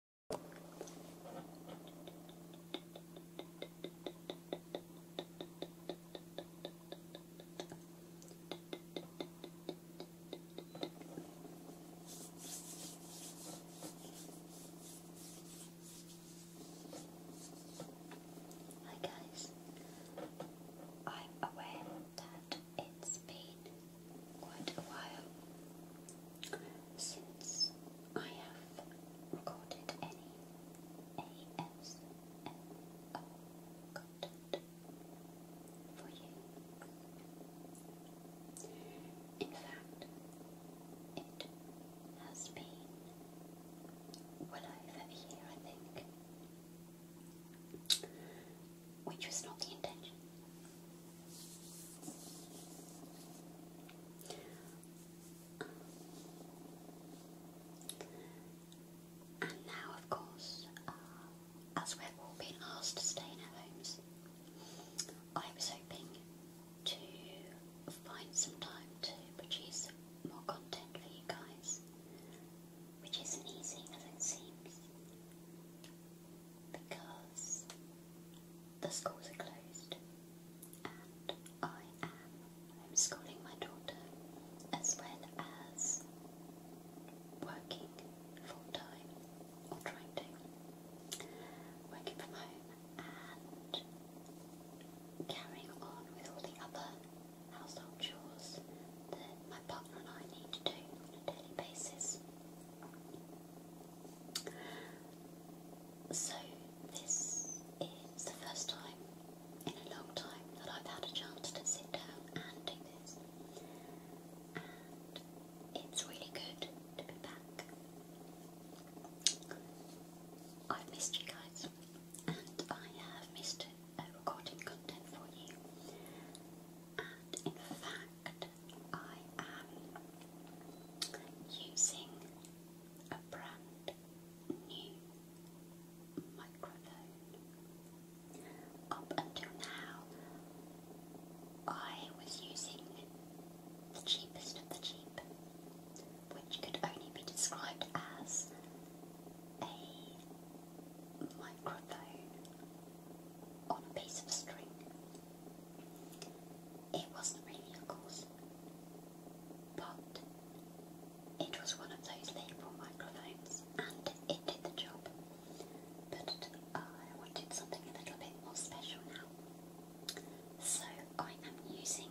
Hi guys, I'm aware that it's been quite a while since I have recorded any ASMR content for you. In fact, it has been well over a year, I think which was not the intention. And now, of course, uh, as we're all being asked to stay in our homes, I was hoping to find some time to produce more content for you guys, which isn't easy as it seems because the schools are closed and I am homeschooling my daughter as well as working full time or trying to, working from home and carrying on with all the other household chores that my partner and I need to do on a daily basis. So, this is the first time in a long time that I've had a chance to sit down and do this. And it's really good to be back. I've missed you guys, and I have missed recording content for you in fact, I am using a brand new microphone. Up until now, I was using the cheapest of the cheap, which could only be described as a microphone on a piece of string. It wasn't really, of course, but it was one of those label microphones and it did the job. But I wanted something a little bit more special now. So I am using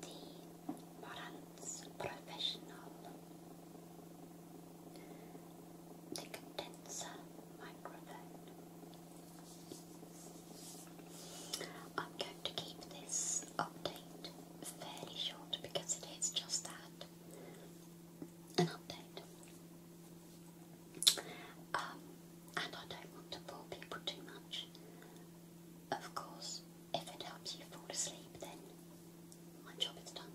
the Morant's Professional. condenser microphone. I'm going to keep this update fairly short because it is just that an update. Um, and I don't want to bore people too much. Of course, if it helps you fall asleep, then my job is done.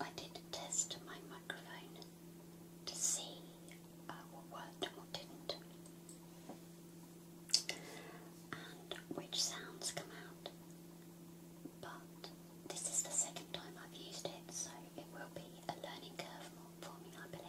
I did test my microphone to see uh, what worked and what didn't, and which sounds come out. But this is the second time I've used it, so it will be a learning curve for me, I believe.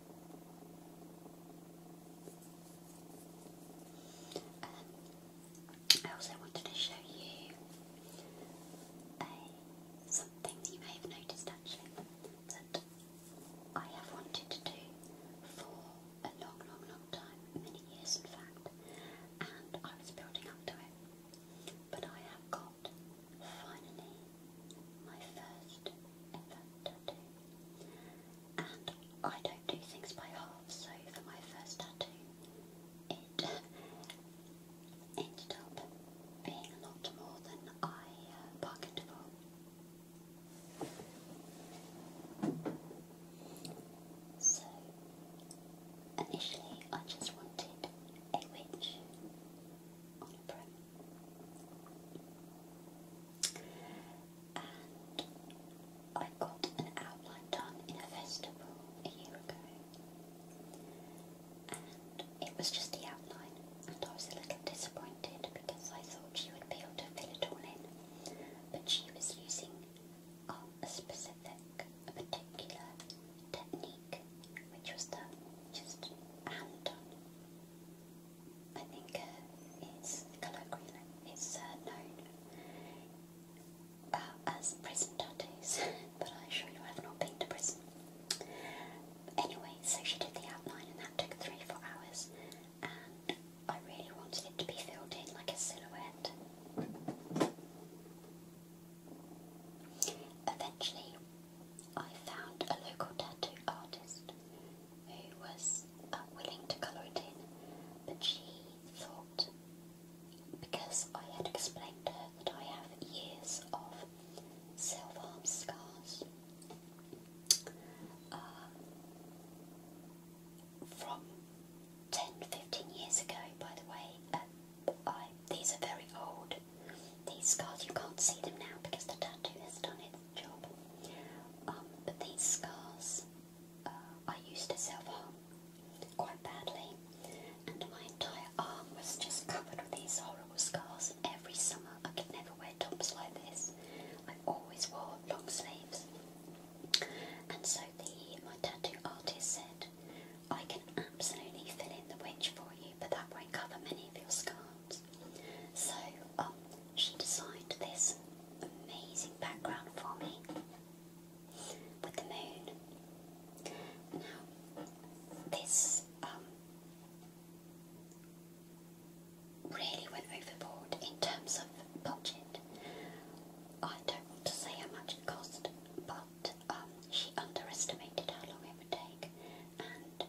Um, I also wanted to show you uh, something that you may have noticed actually that I have wanted to do for a long, long, long time, many years in fact, and I was building up to it. But I have got finally my first ever tattoo. And I don't do things by halves. so for my first tattoo, it ended up being a lot more than I uh, bargained for. So, initially I just wanted a witch on a broom. I got an outline done in a festival a year ago. And it was just the outline, and I was a little disappointed because I thought she would be able to fill it all in. But she was using um, a specific, a particular technique, which was the just hand done I think uh, it's colloquially it's uh, known as prison tattoos, but I assure you have not been to prison. Anyway, so she did the outline, and that took three four hours, and I really wanted it to be filled in like a silhouette. Eventually, I found a local tattoo artist who was uh, willing to colour it in, but she thought, because I had explained to her that I have years of self-harm scars uh, from 10, 15 years ago, by the way, these are very old. These scars, you can't see them now because the tattoo has done its job. Um, but these scars, uh, I used to self-harm quite badly. And my entire arm was just covered with these horrible scars. And every summer I could never wear tops like this. I always wore long sleeves. And so the my tattoo artist said, I can absolutely fill in the witch for you, but that won't cover many of your scars. So um, she designed this amazing background for me with the moon. Now, this um, really went overboard in terms of budget. I don't want to say how much it cost, but um, she underestimated how long it would take, and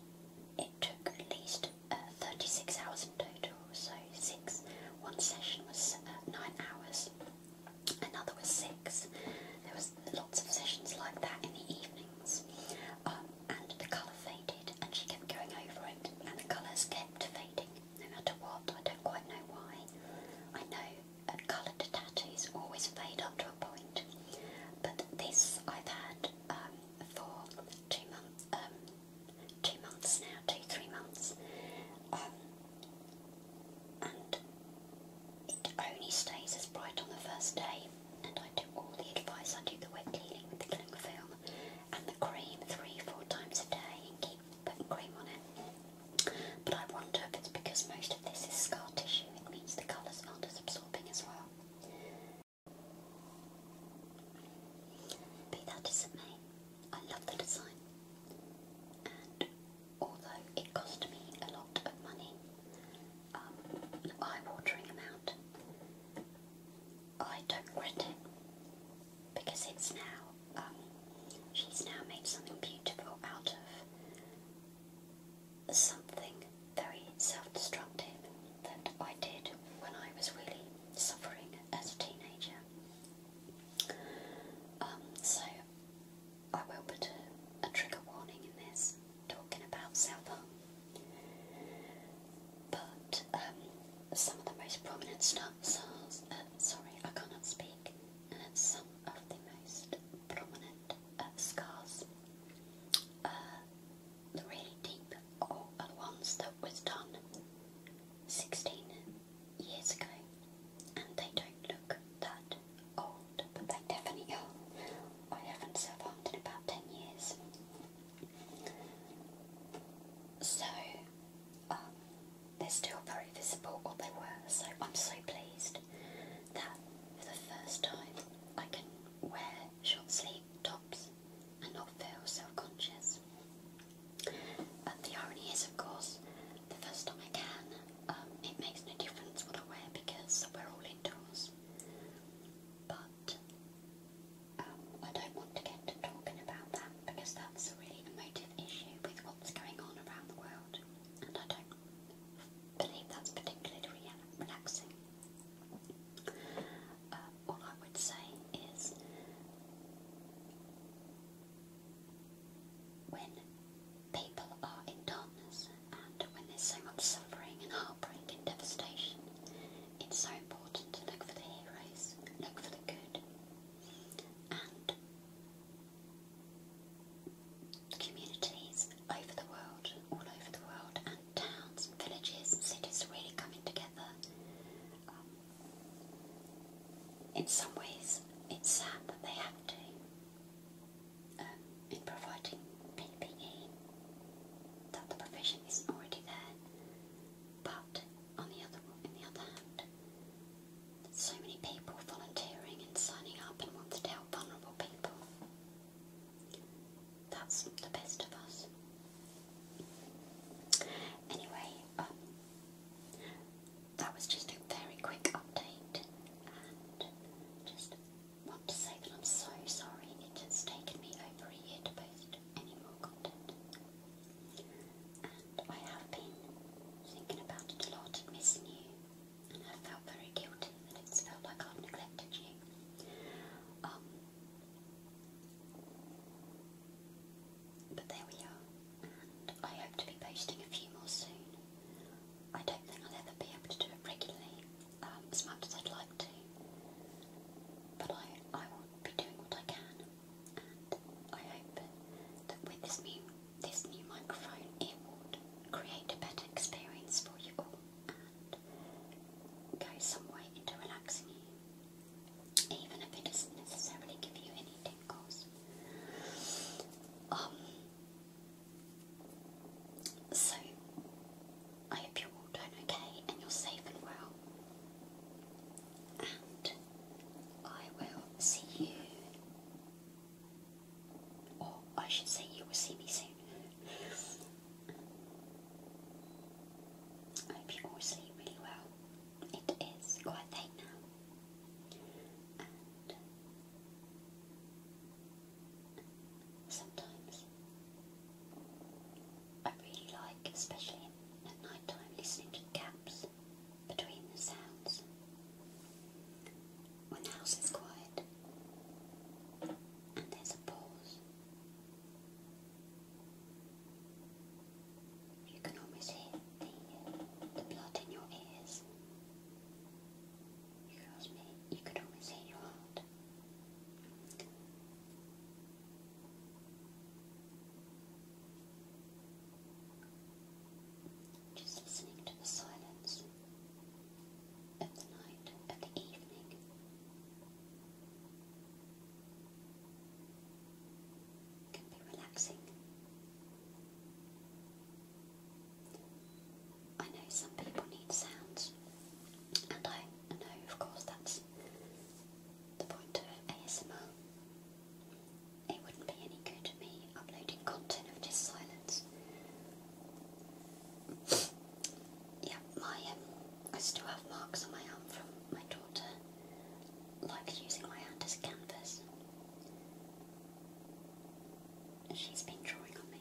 it took at least uh, 36 hours in total. So six, one session was uh, nine hours, another was six. There was lots of sessions like that in the evenings, um, and the colour faded, and she kept going over it, and the colours kept fading no matter what. I don't quite know why. I know coloured tattoos always fade up to a point, but this I've had um, for two months, um, two months now, two three months, um, and it only stays as bright on the first day. And I do all the advice. I do the wet cleaning with the cling film and the cream three, four times a day, and keep putting cream on it. But I wonder if it's because most of this is scar tissue, it means the colours aren't as absorbing as well. Be that as it I love the design. And although it cost me a lot of money, um, an eye-watering amount, I don't regret it because it's now um, she's now made something beautiful out of something very self-destructive that I did when I was really suffering as a teenager. Um, so I will put a, trigger warning in this, talking about self-harm. But um, some of the most prominent stars, uh, sorry, I cannot speak, and some of the most prominent uh, scars. Uh, the really deep are uh, the ones that was done 16 years ago, and they don't look that old, but they definitely are. I haven't survived in about 10 years. So, um, they're still very visible, what they were, so I'm so pleased that for the first time I can wear short sleeve tops and not feel self conscious. But the irony is, of course, the first time I can, um, it makes no difference what I wear because we're all indoors. But um, I don't want to get to talking about that because that's a really emotive issue with what's going on around the world, and I don't believe that's particularly relaxing. Uh, all I would say is when people are in darkness and when there's so much suffering and heartbreak and devastation, it's so important to look for the heroes, look for the good, and communities over the world, all over the world, and towns villages cities really coming together. Um, in some ways, it's sad that they have to um, in providing PPE, that the provision isn't already there. But on the other in the other hand, so many people volunteering and signing up and want to help vulnerable people. That's the best of us. Anyway, um, that was just a very quick update, and just want to say that I'm so sorry it has taken me over a year to post any more content. And I have been thinking about it a lot and missing you. And I felt very guilty that it's felt like I've neglected you. Um, but there we are. And I hope to be posting a few more soon. I don't think I'll ever be able to do it regularly, um, as much as I'd like to. But I, I will be doing what I can and I hope that with this new this new microphone it would create a better experience for you all and go some way into relaxing you, even if it doesn't necessarily give you any tingles. Um, so, I hope you're all doing okay and you're safe and well and I will see you, or I should say, you will see me soon. I hope you all sleep really well. It is quite late now, sometimes I really like, especially at night time, listening to the gaps between the sounds when the house is quiet and there's a pause. You can almost hear the, uh, blood in your ears. You could, you could almost hear your heart. Just listening to the silence of the night, of the evening. Can be relaxing. I know some people need sounds, and I know, of course, that's the point of ASMR. It wouldn't be any good me uploading content of just silence. yeah, my um, I still have marks on my arm from my daughter, like using my hand as a canvas. She's been drawing on me,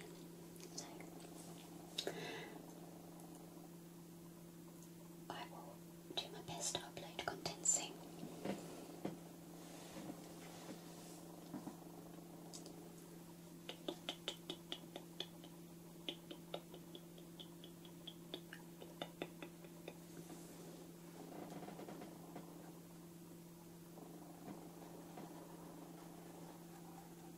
I will do my best to upload content soon.